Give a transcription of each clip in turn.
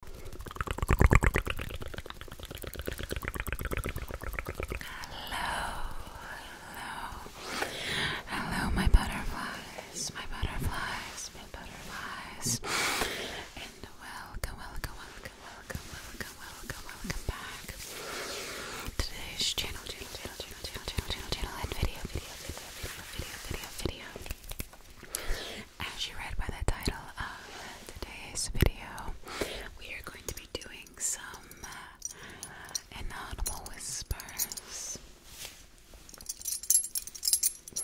hello, hello, my butterflies, my butterflies, my butterflies, and welcome, welcome, welcome, welcome, welcome, welcome, welcome back to today's channel, channel, channel, channel, channel, channel, channel, and video, video, video, video, video, video, video. As you read by the title of today's video, we are going to be doing some uh, whispers.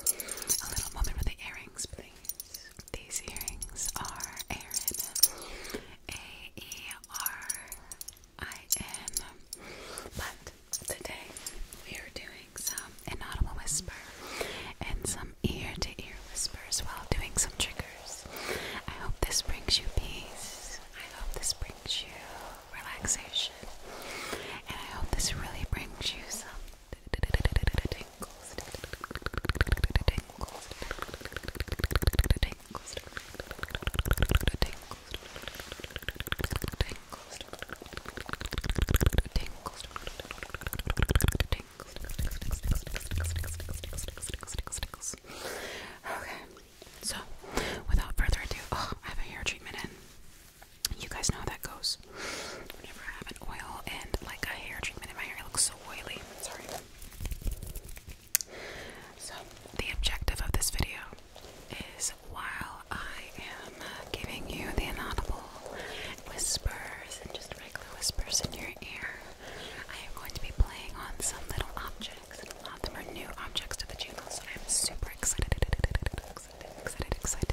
A little moment with the earrings, please. These earrings are Erin, A E R I N. But today we are doing some inaudible whisper and some ear to ear whispers while doing some triggers. I hope this brings you peace. I hope this brings you relaxation. And I hope this really brings you some tingles, tingles, Okay, so without further ado, I have a hair treatment in. You guys know how that goes. Whenever I have an oil and like a hair treatment my hair, looks so oily. Sorry. So, the objective of this video is while I am giving you the inaudible whispers and just regular whispers in your ear. I am going to be playing on some little objects. A lot of them are new objects to the channel, so I'm super excited, excited, excited, excited.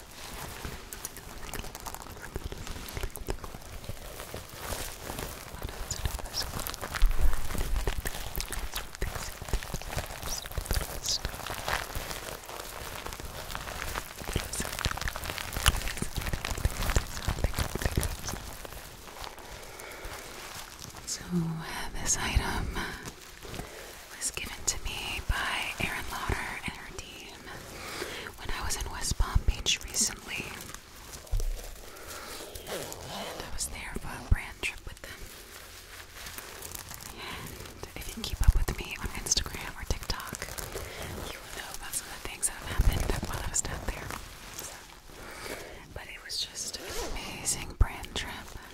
So, this item was given to me by Erin Lauder and her team when I was in West Palm Beach recently. I was there for a brand trip with them. And if you keep up with me on Instagram or TikTok, you will know about some of the things that have happened while I was down there. but it was just an amazing brand trip.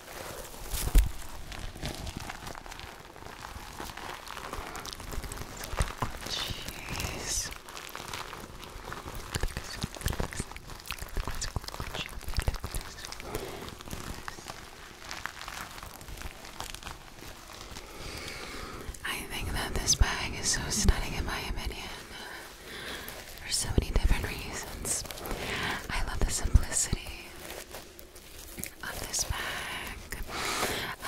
Jeez. I think that this bag is so stunning, in my opinion, for so many different reasons. I love the simplicity of this bag,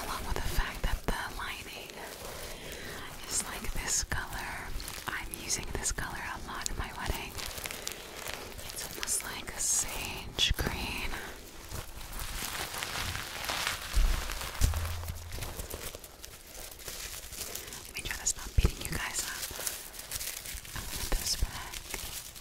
along with the fact that the lining is like this color. I'm using this color a lot in my wedding. It's almost like a sage green. Make sure that's not beating you guys up. I this back.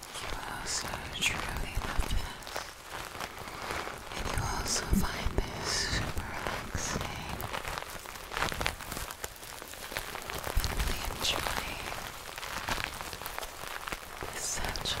You also truly love this. you also find this super relaxing. And really enjoy such.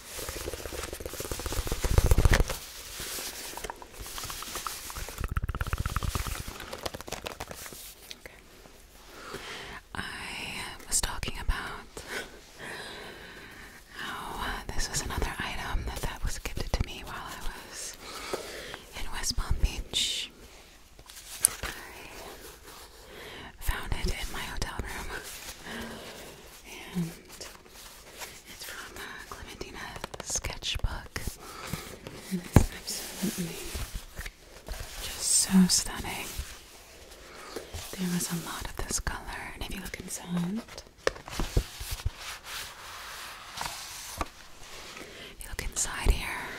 I was talking about how uh, this was another item that was gifted to me while I was in West Palm Beach found it in my hotel room. and it's from uh, Clementina's sketchbook. And it's absolutely just so stunning. There was a lot of this color, and if you look inside, if you look inside here,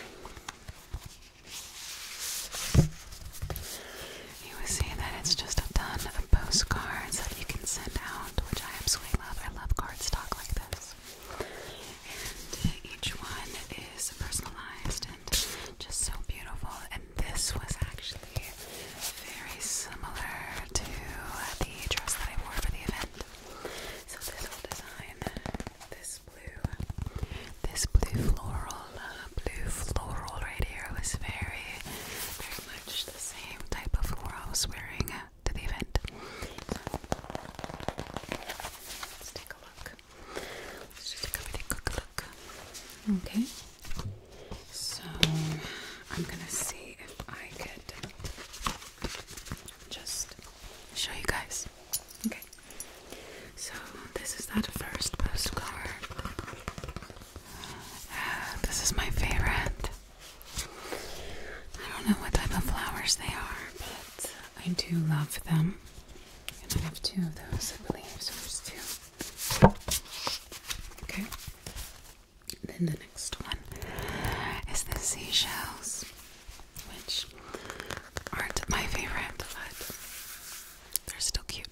you will see that it's just a ton of postcards that you can send out, which I absolutely love. I love cardstock like this. And each one is personalized and just so beautiful. And this was actually very similar to the dress that I wore for the event. So this whole design, this blue this blue floral, uh, blue floral right here was very, very much the same type of floral I was wearing to the event. Let's take a look. Let's just take a really quick look. Okay. So I'm gonna see if I could just show you guys. Okay. So this is that first postcard. Uh, this is my favorite. I don't know what type of flowers they are, but I do love them. And I have two of those, I believe. So there's two. Okay. Then the next one is the seashells, which aren't my favorite, but they're still cute.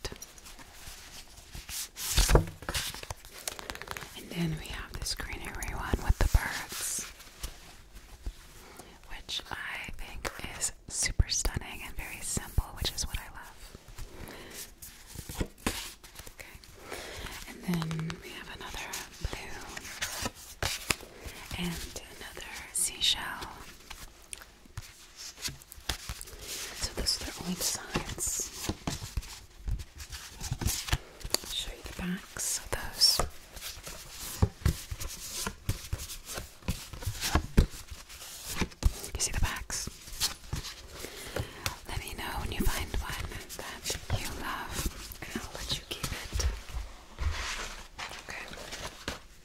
And then we have this greenery one with the birds, which I think is super stunning and very simple, which is what I love. Okay. And then we have another blue and another seashell so those are their only designs. show you the backs of those. You see the backs? Let me know when you find one that you love, and I'll let you keep it. Okay.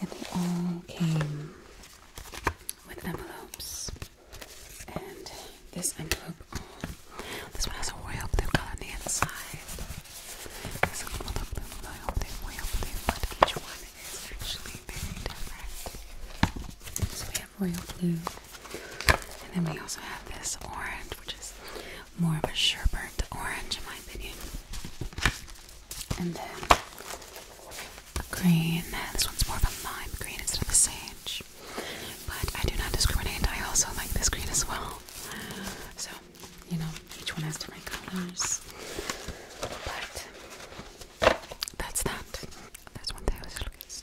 and they all came with envelopes. And this envelope, oh, this one has a royal blue color on the inside. This one will look blue, royal blue, royal blue, but each one is actually very different. So we have royal blue, and then we also have this orange, which is more of a sherbert orange in my opinion. And then green. This one's more of a lime green instead of a sage. But I do not discriminate. I also like this green as well. So, you know, each one has different colors. But that's that. That's one thing I was looking at.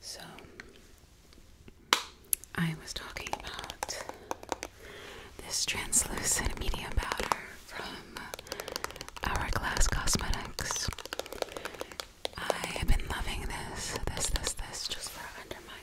So, I was talking about this translucent medium powder from Hourglass Cosmetics. I have been loving this, this, this, this, just for under my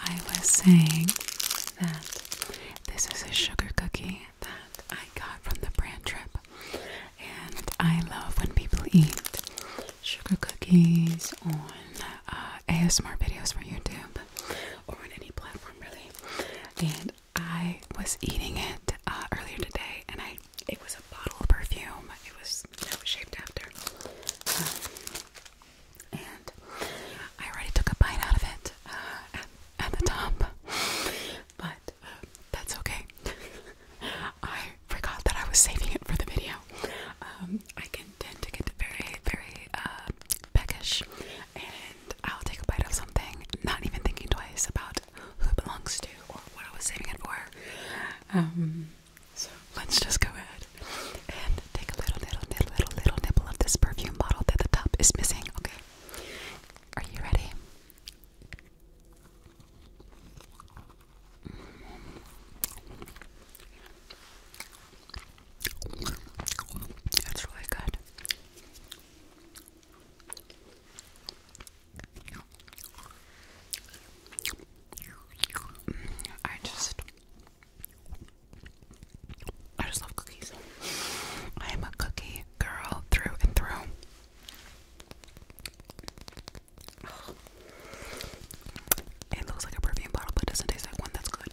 I was saying that this is a sugar cookie that I got from the brand trip, and I love when people eat sugar cookies on uh, ASMR videos for YouTube or on any platform, really. And I was eating it uh, earlier today, and I it was a bottle of perfume. It was shaped after, um, and I already took a bite out of it uh, at, the top, but um, that's okay. I forgot that I was saving it for the video. Um, I can tend to get very, very uh, peckish, and I'll take a bite of something, not even thinking twice about who it belongs to or what I was saving it for. Um, so let's just go ahead and take a little, little, little, little, little nibble of this perfume bottle that the top is missing. Okay, are you ready? It's really good. I just I just love cookies. I am a cookie girl through and through. It looks like a perfume bottle but doesn't taste like one that's good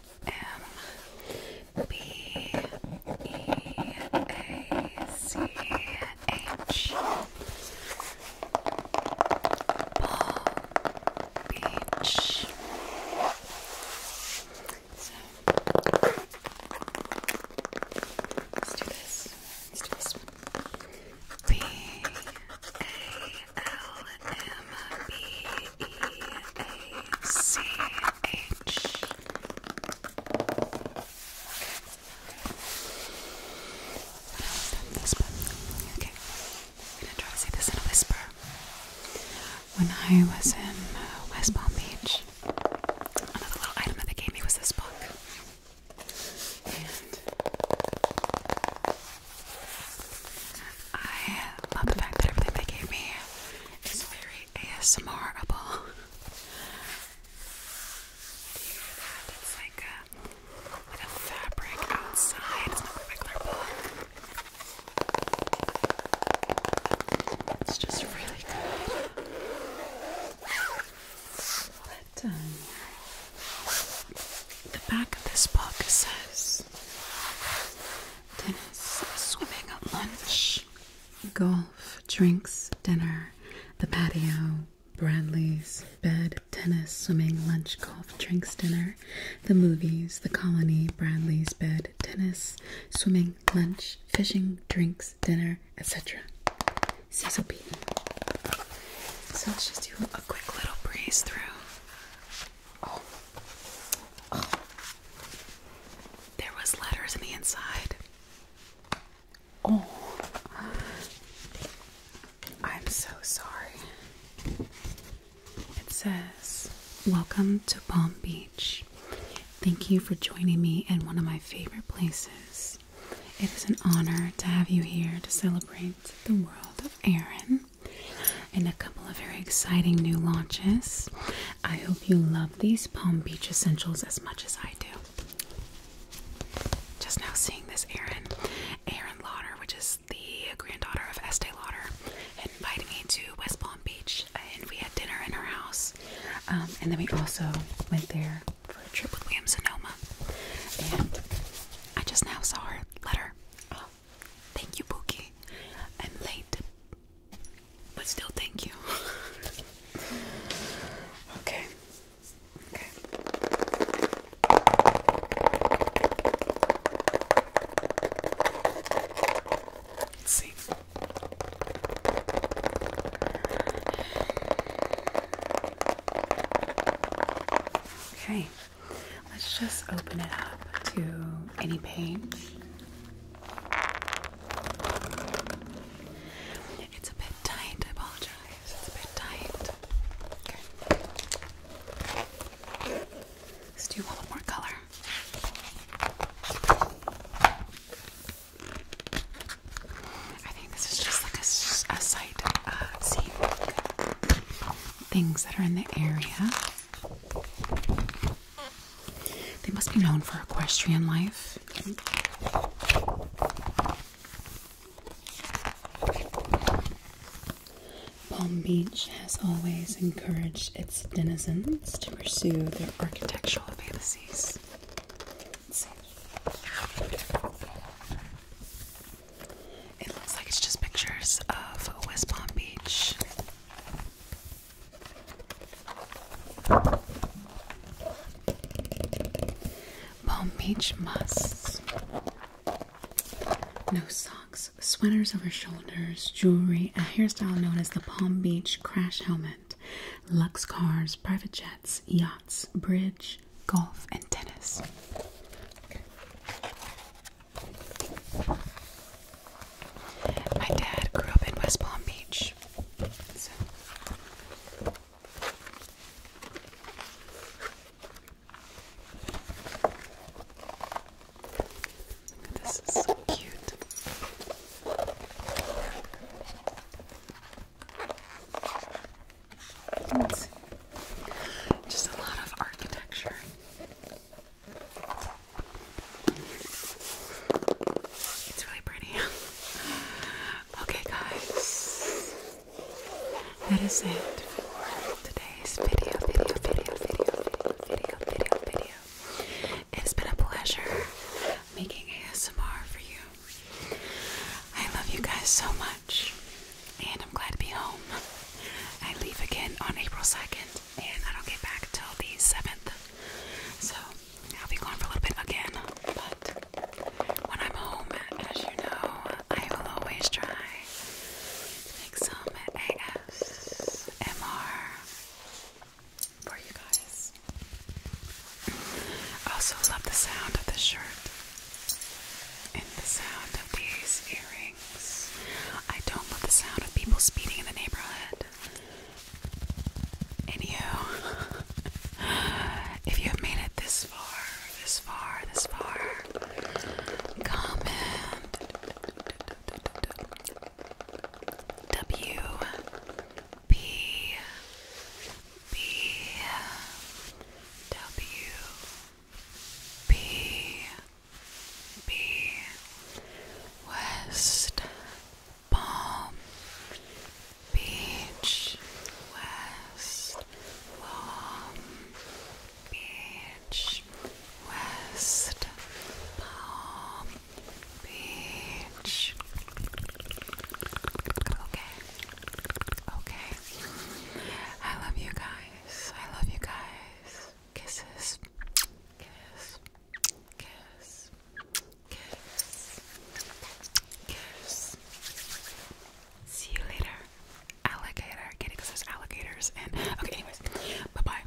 M B E A C H Beach. let's do this. Let's do this B A L M B E-A-C-H. Okay. I'm gonna try to say this in a whisper. When I was in uh, West Palm Beach, another little item they gave me was this book. I love the fact that everything they gave me is very ASMRable. Do It's like a, like a fabric outside. It's not a regular book. It's just really good. Um, the back of this book says tennis, swimming lunch, golf, drinks, dinner, the patio, Bradley's, bed, tennis, swimming, lunch, golf, drinks, dinner, the movies, the colony, Bradley's, bed, tennis, swimming, lunch, fishing, drinks, dinner, etc. Cecil Beaton. So let's just do a quick little breeze through Oh. There was letters in the inside. Oh. I'm so sorry. It says, "Welcome to Palm Beach. Thank you for joining me in one of my favorite places. It is an honor to have you here to celebrate the world of Aaron and a couple of very exciting new launches. I hope you love these Palm Beach essentials as much as I do. Just now seeing this Erin, Erin Lauder, which is the granddaughter of Estee Lauder, invited me to West Palm Beach and we had dinner in her house. Um, and then we also went there for a trip with William Sonoma. And I just now saw her letter. Oh, Thank you, Bookie. I'm late, but still, thank you. okay. Okay. see. Okay. Let's just open it up to any page. It's a bit tight, I apologize. It's a bit tight. do a little more color. I think this is just like a, sight uh, things that are in the area. They must be known for equestrian life. Palm Beach has always encouraged its denizens to pursue their architectural fantasies. It looks like it's just pictures of West Palm Beach. Palm Beach musts. No socks, sweaters over shoulders, jewelry, a hairstyle known as the Palm Beach crash helmet, lux cars, private jets, yachts, bridge, golf, and tennis. My dad grew up in West Palm Beach. This is so cute. It's just a lot of architecture. It's really pretty. okay, guys, that is it for today's video, video, video, video, video, video, video. It's been a pleasure making ASMR for you. I love you guys so much and I'm glad to be home. I leave again on April 2nd, and I don't get back until the 7th. So I'll be gone for a little bit again, but when I'm home, as you know, I will always try to for you guys. I also love the sound of this shirt in the sound of these earrings. I don't love the sound of people speeding in the neighborhood. And you, if you have made it this far, this far, this far, come comment W P B W B West Palm Beach West Palm Beach West Palm Beach Okay Okay. I love you guys. I love you guys. Kisses. Kiss. Kiss. Kiss. Kiss. See you later. Alligator. Get it? alligators and okay, anyways. Bye bye.